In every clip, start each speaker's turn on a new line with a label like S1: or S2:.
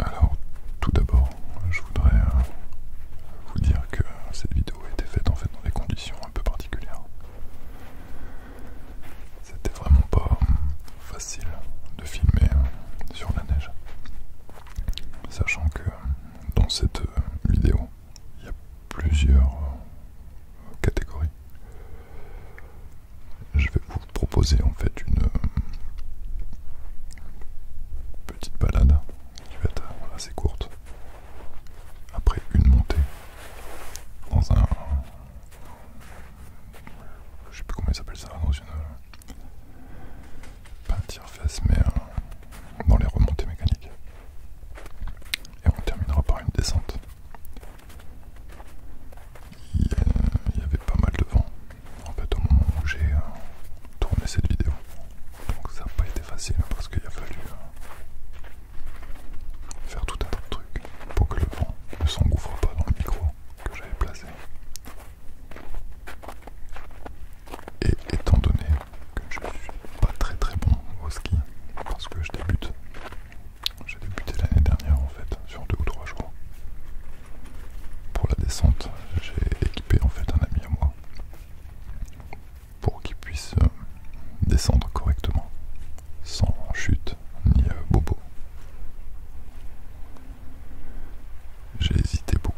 S1: Alors, tout d'abord, je voudrais euh, vous dire que cette vidéo a été faite en fait dans des conditions un peu particulières. C'était vraiment pas euh, facile de filmer euh, sur la neige. Sachant que euh, dans cette vidéo, il y a plusieurs catégories. Je vais vous proposer en fait une petite balade qui va être assez courte après une montée dans un je sais plus comment ils s'appelle ça dans une. Pas un tire-fesse, mais euh, dans les remontées mécaniques. Et on terminera par une descente. Il y avait pas mal de vent en au moment où j'ai euh, tourné cette vidéo. Donc ça n'a pas été facile parce qu'il a fallu euh, faire tout un tas de pour que le vent ne s'engouffre pas dans le micro que j'avais placé. Et étant donné que je ne suis pas très très bon au ski, parce que je débute, j'ai débuté l'année dernière en fait, sur deux ou trois jours. Pour la descente, j'ai équipé en fait un ami à moi pour qu'il puisse euh, descendre correctement, sans chute ni euh, bobo. J'ai hésité beaucoup.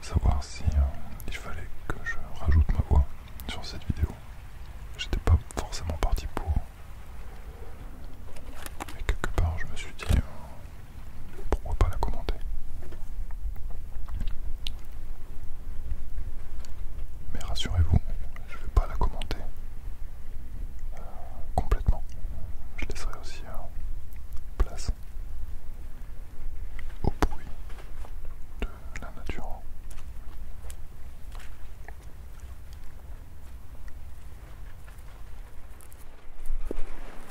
S1: savoir si euh, il fallait que je rajoute ma voix sur cette vidéo. J'étais pas forcément parti pour. Et quelque part, je me suis dit, euh, pourquoi pas la commenter. Mais rassurez-vous, je ne vais pas la commenter euh, complètement. Je laisserai aussi euh, place au bruit de la nature.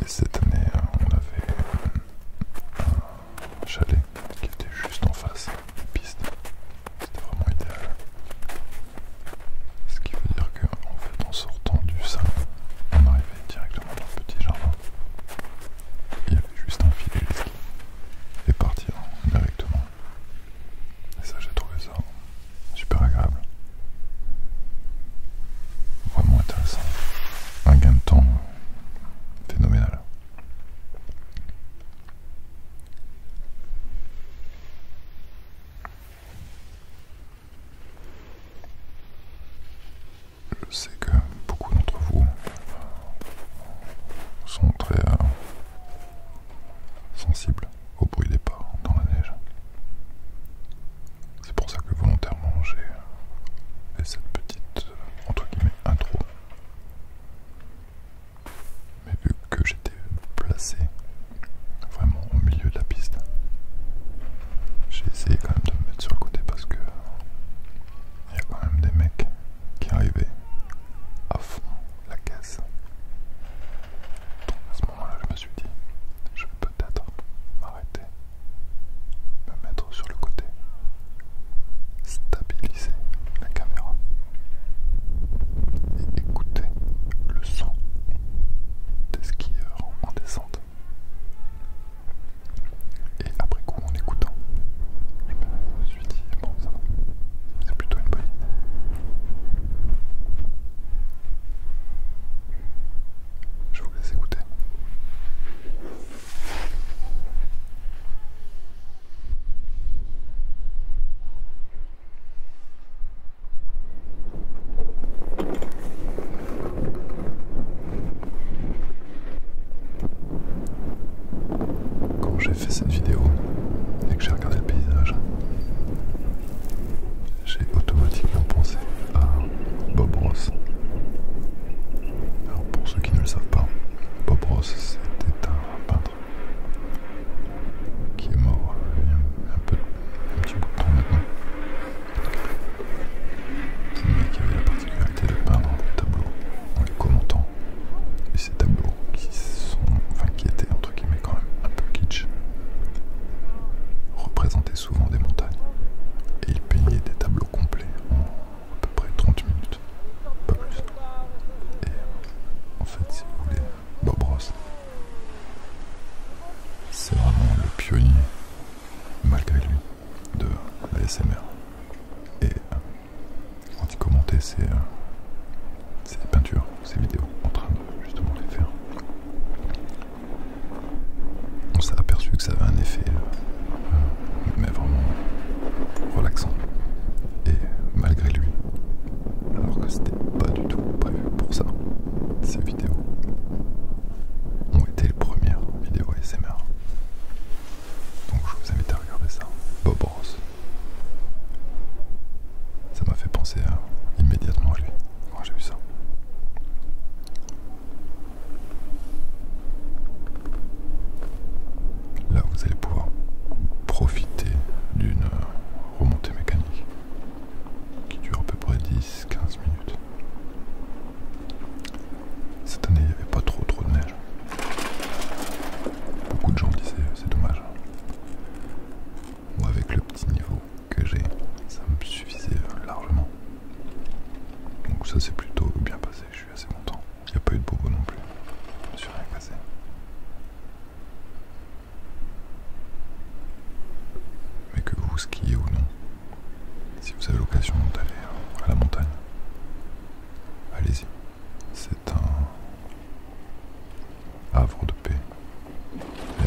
S1: Et cette année, on avait un chalet qui était juste en face piste. C'était vraiment idéal. Ce qui veut dire qu'en fait en sortant du sein, on arrivait directement dans le petit jardin. Il y avait juste un filet les skis. Et partir hein, directement. Et ça j'ai trouvé ça super agréable. Vraiment intéressant. Un gain de temps phénoménal. Je sais que beaucoup d'entre vous euh, sont très euh, sensibles au bruit des pas dans la neige. C'est pour ça que volontairement j'ai fait cette petite euh, entre guillemets intro mais vu que j'étais placé vraiment au milieu de la piste, j'ai essayé quand même de me mettre sur le côté parce que il y a quand même des mecs qui arrivaient à fond la caisse. à ce moment-là, je me suis dit, je vais peut-être m'arrêter, me mettre sur le côté stabiliser la caméra et écouter le son des skieurs en descente. Et après coup, en écoutant, je me suis dit, bon, ça va, c'est plutôt une bonne idée. Je vous laisse écouter. Quand j'ai fait cette vidéo et que j'ai regardé le paysage, j'ai automatiquement pensé à Bob Ross. Alors pour ceux qui ne le savent pas, Bob Ross c'était un peintre qui est mort il y a un, petit bout de temps maintenant. Mais qui avait la particularité de peindre des tableaux en les commentant. Et ces tableaux qui sont, enfin étaient entre guillemets quand même un peu kitsch, représentaient souvent des montagnes. Et il peignait des tableaux complets à peu près 30 minutes, pas plus. Et en fait, si vous voulez, Bob Ross, c'est vraiment le pionnier, malgré lui, de la SMR. Et euh, quand il commentait euh, ses, peintures, ses vidéos, en train de justement les faire, on s'est aperçu que ça avait un effet. Euh, mais vraiment relaxant. Et malgré lui, alors que c'était pas du tout prévu pour ça, ces vidéos ont été les premières vidéos ASMR. Donc je vous invite à regarder ça. Bob Ross. Ça m'a fait penser immédiatement à lui quand j'ai vu ça. Là, vous allez pouvoir profiter d'une remontée mécanique qui dure à peu près 10-15 minutes. Cette année, il n'y avait pas trop trop de neige. Beaucoup de gens disaient c'est dommage. Moi, avec le petit niveau que j'ai, ça me suffisait largement. Donc ça s'est plutôt bien passé, je suis assez content. Il n'y a pas eu de bobo non plus. Je suis rien cassé. Mais que vous skiez ou non, si vous avez l'occasion d'aller à la montagne, allez-y. C'est un havre de paix. Il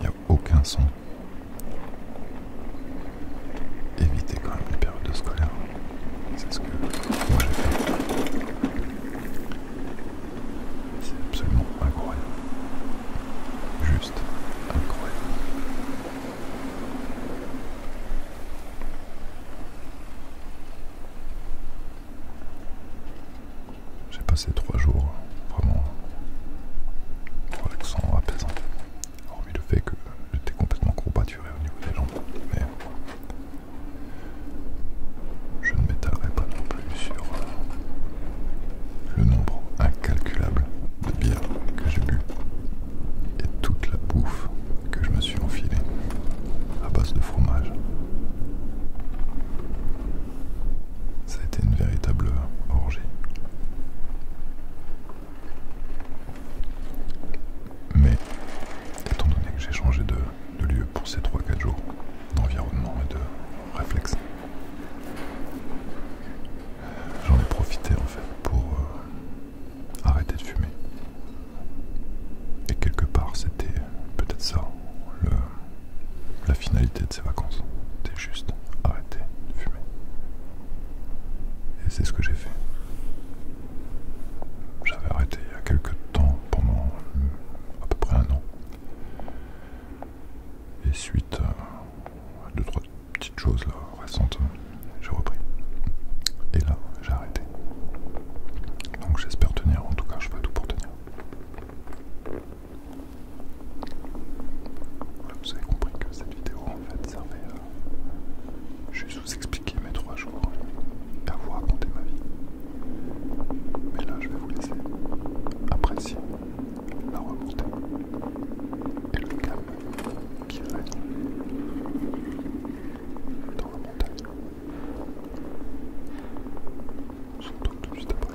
S1: n'y a aucun son. Évitez quand même les périodes scolaires. C'est ce que moi j'ai fait. C'est absolument incroyable. Juste incroyable. J'ai passé trois jours vraiment relaxants, apaisants. Hormis le fait que j'étais complètement combattu au niveau des mais je ne m'étalerai pas non plus sur euh, le nombre incalculable de bières que j'ai bu et toute la bouffe que je me suis enfilé à base de fromage. Ça a été une véritable orgie. Mais, étant donné que j'ai changé de, lieu pour ces 3-4 jours, d'environnement et de réflexe, j'en ai profité en fait pour euh, arrêter de fumer. Et quelque part, c'était peut-être ça, la finalité de ces vacances. C'était juste arrêter de fumer. Et c'est ce que j'ai fait. J'avais arrêté il y a quelques temps, pendant à peu près un an. Et suite à deux, trois petites choses récentes, j'ai repris. Et là, j'ai arrêté. Donc j'espère tenir, en tout cas je fais tout pour tenir. vous avez compris que cette vidéo en fait servait à je juste vous expliquer mes trois jours à vous raconter ma vie. Mais là, je vais vous laisser apprécier la remontée et le calme qui règne dans la montagne. On se tout tout suite après.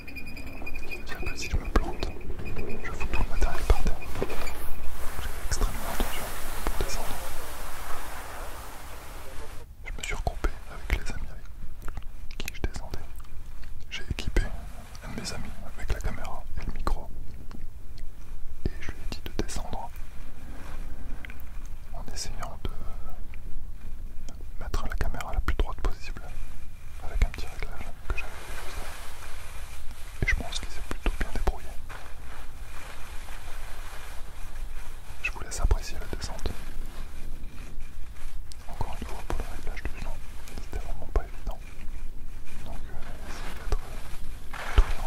S1: Je me que si je me plante, je fous tout le matériel par terre. J'ai extrêmement attention pour descendre. Je me suis regroupé avec les amis avec qui je descendais. J'ai équipé un de mes amis avec la caméra et le micro. Et je lui ai dit de descendre en essayant de mettre la caméra la plus droite possible avec un petit réglage que j'avais fait juste Et je pense qu'il s'est plutôt bien débrouillé. Je vous laisse apprécier la descente. Encore une fois pour le réglage du genou, c'était vraiment pas évident. Donc euh, essayez d'être euh,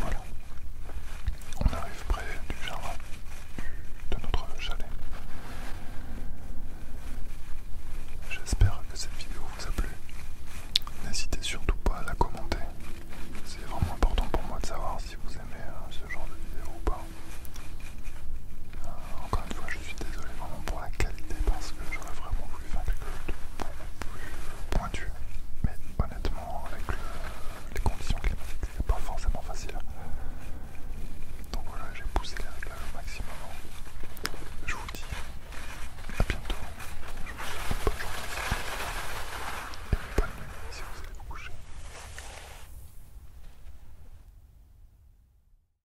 S1: Voilà, on arrive près du jardin de notre chalet. J'espère que cette vidéo vous a plu. N'hésitez surtout pas à la commenter. C'est vraiment important pour moi de savoir si vous aimez euh, ce genre de vidéo ou pas. Euh, encore une fois, je suis désolé vraiment pour la qualité parce que j'aurais vraiment voulu faire quelque chose de plus pointu. Mais honnêtement, avec les conditions climatiques, c'est pas forcément facile. Donc voilà, j'ai poussé les réglages au maximum. Je vous dis à bientôt. Je vous souhaite bonne journée si vous allez vous coucher.